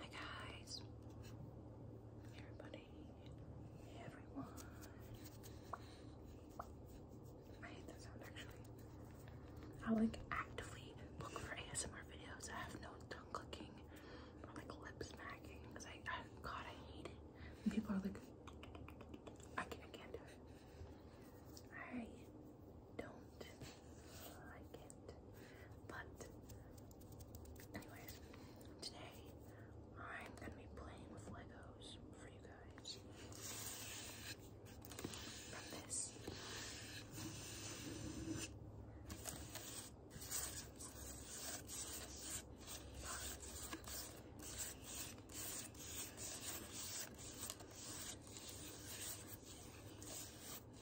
Hi guys, everybody, everyone. I hate that sound actually. I like actively look for ASMR videos I have no tongue clicking like lip smacking because I, God, I hate it. When people are like, I can't, I can't do it. I don't like it. But, anyways, today I'm gonna be playing with Legos for you guys. From this.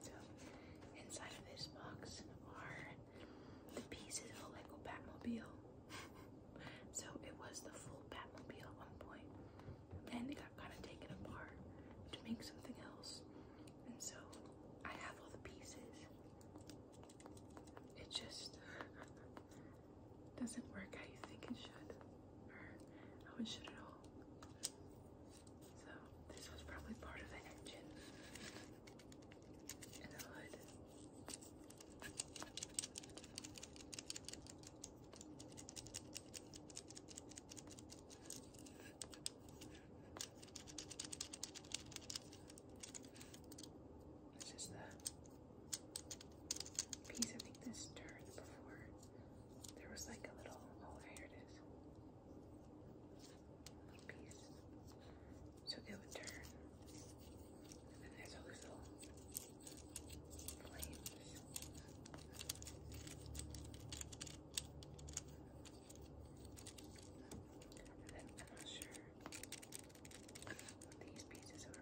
So inside of this box are the pieces of a Lego Batmobile. so it was the full Batmobile at one point. it got kind of taken apart to make something else. And so I have all the pieces. It just doesn't work how you think it should. Or how it should at so this was probably part of the engine and the hood. It's just the piece. I think this turned before there was like a little. Oh, here it is. So it would turn. And then there's all little flames. I'm not sure these pieces are.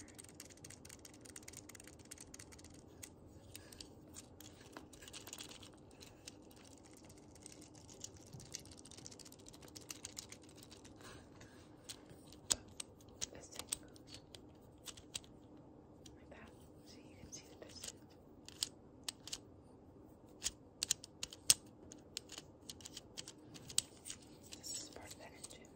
This like that, so you can see the This is part of that engine.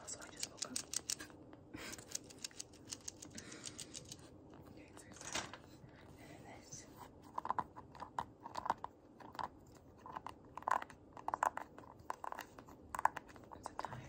Also, I just woke up. okay, so And then this. It's a tire.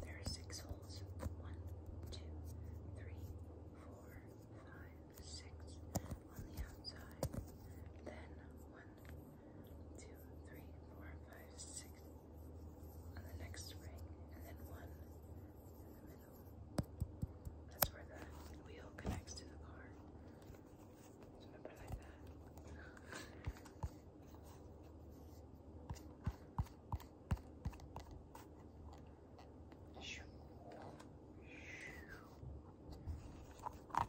There are six holes. One, two, three, four, five, six on the outside. Then one, two, three, four, five, six on the next ring, and then one in the middle. That's where the wheel connects to the car. So like that wonder if that makes any noise. All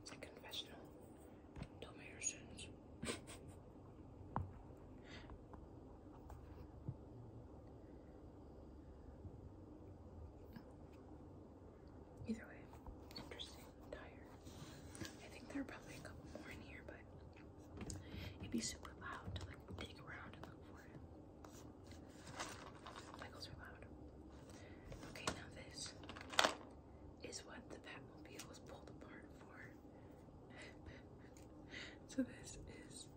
It's a confessional. Tell me your sins. Either way, interesting. tired. I think there are probably a couple more in here, but it'd be super loud to like dig around and look for it. Michaels are loud. Okay, now this is what the Batmobile was pulled apart for. so this is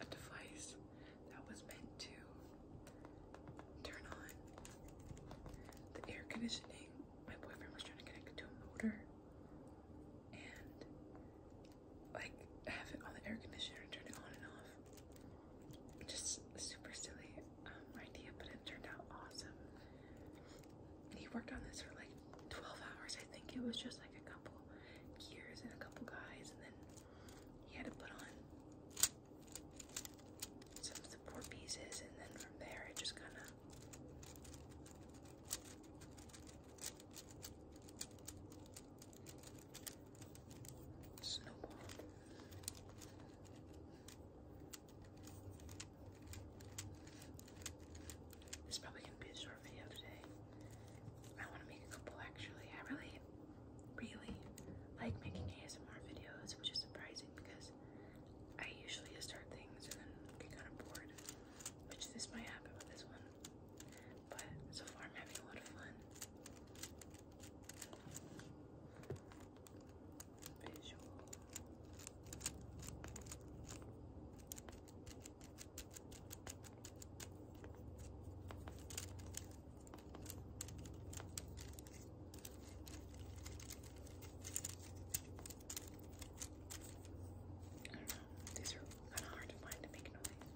a device that was meant to turn on the air conditioning. My boyfriend was trying to connect it to a motor and like have it on the air conditioner turn it on and off. Just super silly um, idea, but it turned out awesome. He worked on this for like 12 hours. I think it was just a couple gears and a couple guys, and then he had to put on some of the support pieces, and then from there it just kind of snowballed. It's probably gonna be a short video today. I want to make a couple actually. I really, really like making ASMR videos, which is surprising because I usually just start things and then get kind of bored, which this might happen with this one. But so far, I'm having a lot of fun. Visual. I don't know, these are kind of hard to find to make noise.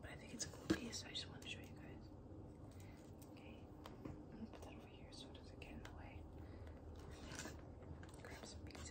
But I think it's a cool piece, so I just want to show you guys. Okay, over here so it doesn't get in the way. Grab some pieces.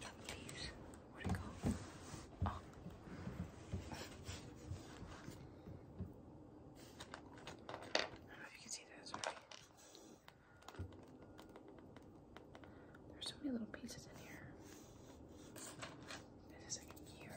Drop these. Where'd it go? Oh. I don't know if you can see that, sorry. There's so many little pieces in here. This is like a gear.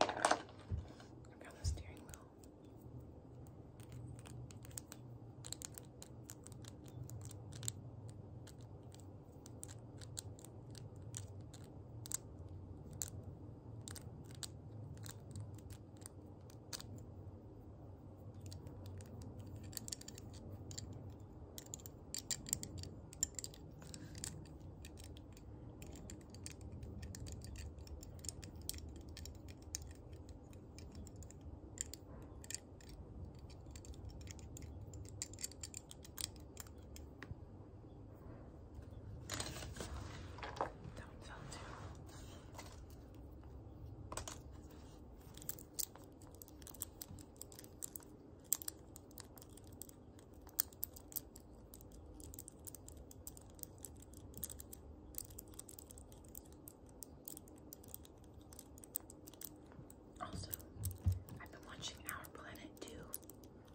Oh, I found the steering wheel. Don't tell too. Also, I've been watching Our Planet too.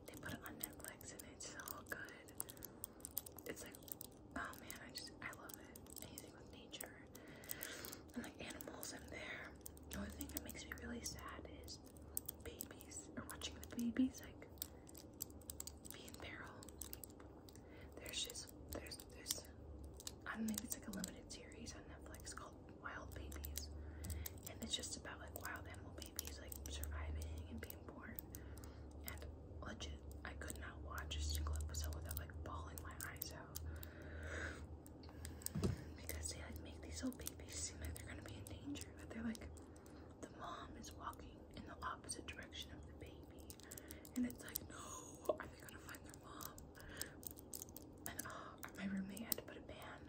They put it on Netflix and it's so good. It's like Oh man, I just I love it. Anything with nature and like animals in there. The only thing that makes me really sad is babies or watching the babies like being in peril. There's just there's there's I don't know it's like a limited series on Netflix called Wild Babies. And it's just about like wild animal babies like surviving and being born and legit, I could not watch a single episode without like bawling my eyes out because they like make these little babies seem like they're gonna be in danger, but they're like the mom is walking in the opposite direction of the baby, and it's like, no, are they gonna find their mom? And uh, my roommate had to put a ban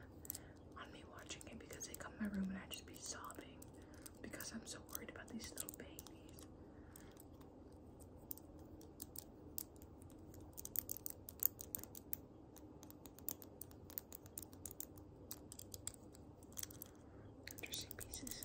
on me watching it because they come in my room and I just be sobbing because I'm so worried about these little babies. Interesting pieces.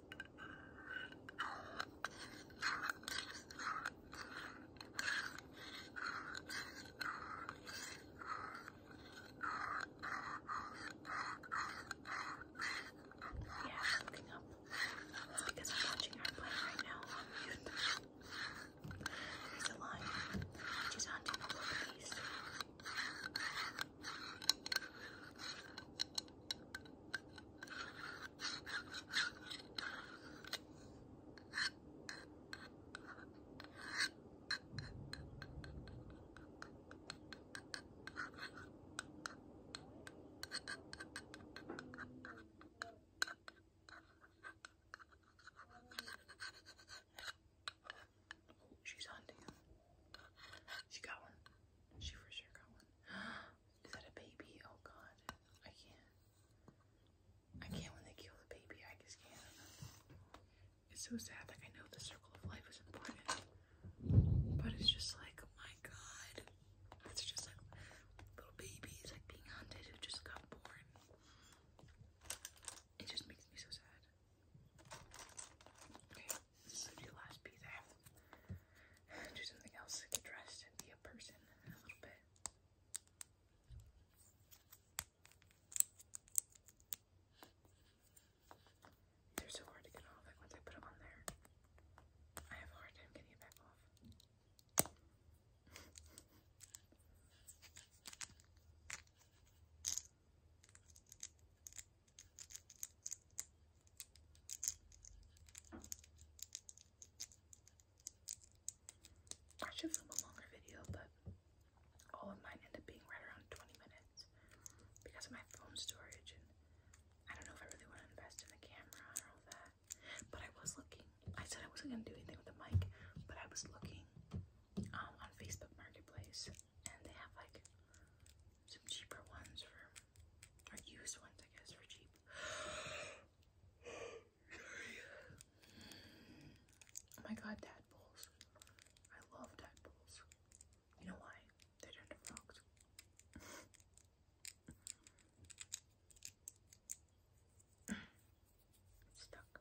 Yeah, something up. It's because I'm watching her play right now on YouTube. There's a line. She's hunting for police. She's hunting She got one. She for sure got one. Is that a baby? Oh god. I can't. I can't when they kill the baby. I just can't. It's so sad. Like, I know the circle of life is important. But it's just like, oh, my god. It's just like little babies, like being hunted who just got born. It just makes me so sad. This is last piece I Do something else, get dressed, and be a person a little bit. They're so hard to get off. Like once I put them on there, I have a hard time getting it back off. I should film a longer video, but all of mine end up being right around 20 minutes because of my phone storage, and I don't know if I really want to invest in the camera or all that. But I was looking. I said I wasn't gonna do anything with the mic, but I was looking um, on Facebook Marketplace, and they have like some cheaper ones for or used ones, I guess, for cheap. Oh my god, tadpoles. I love tadpoles. You know why? They turn to frogs. Stuck.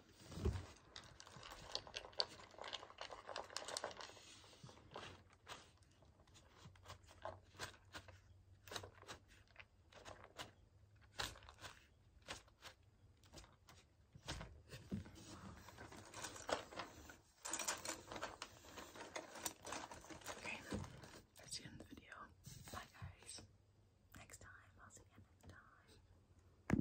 Okay, that's the end the video. Bye guys. Next time. I'll see you next time.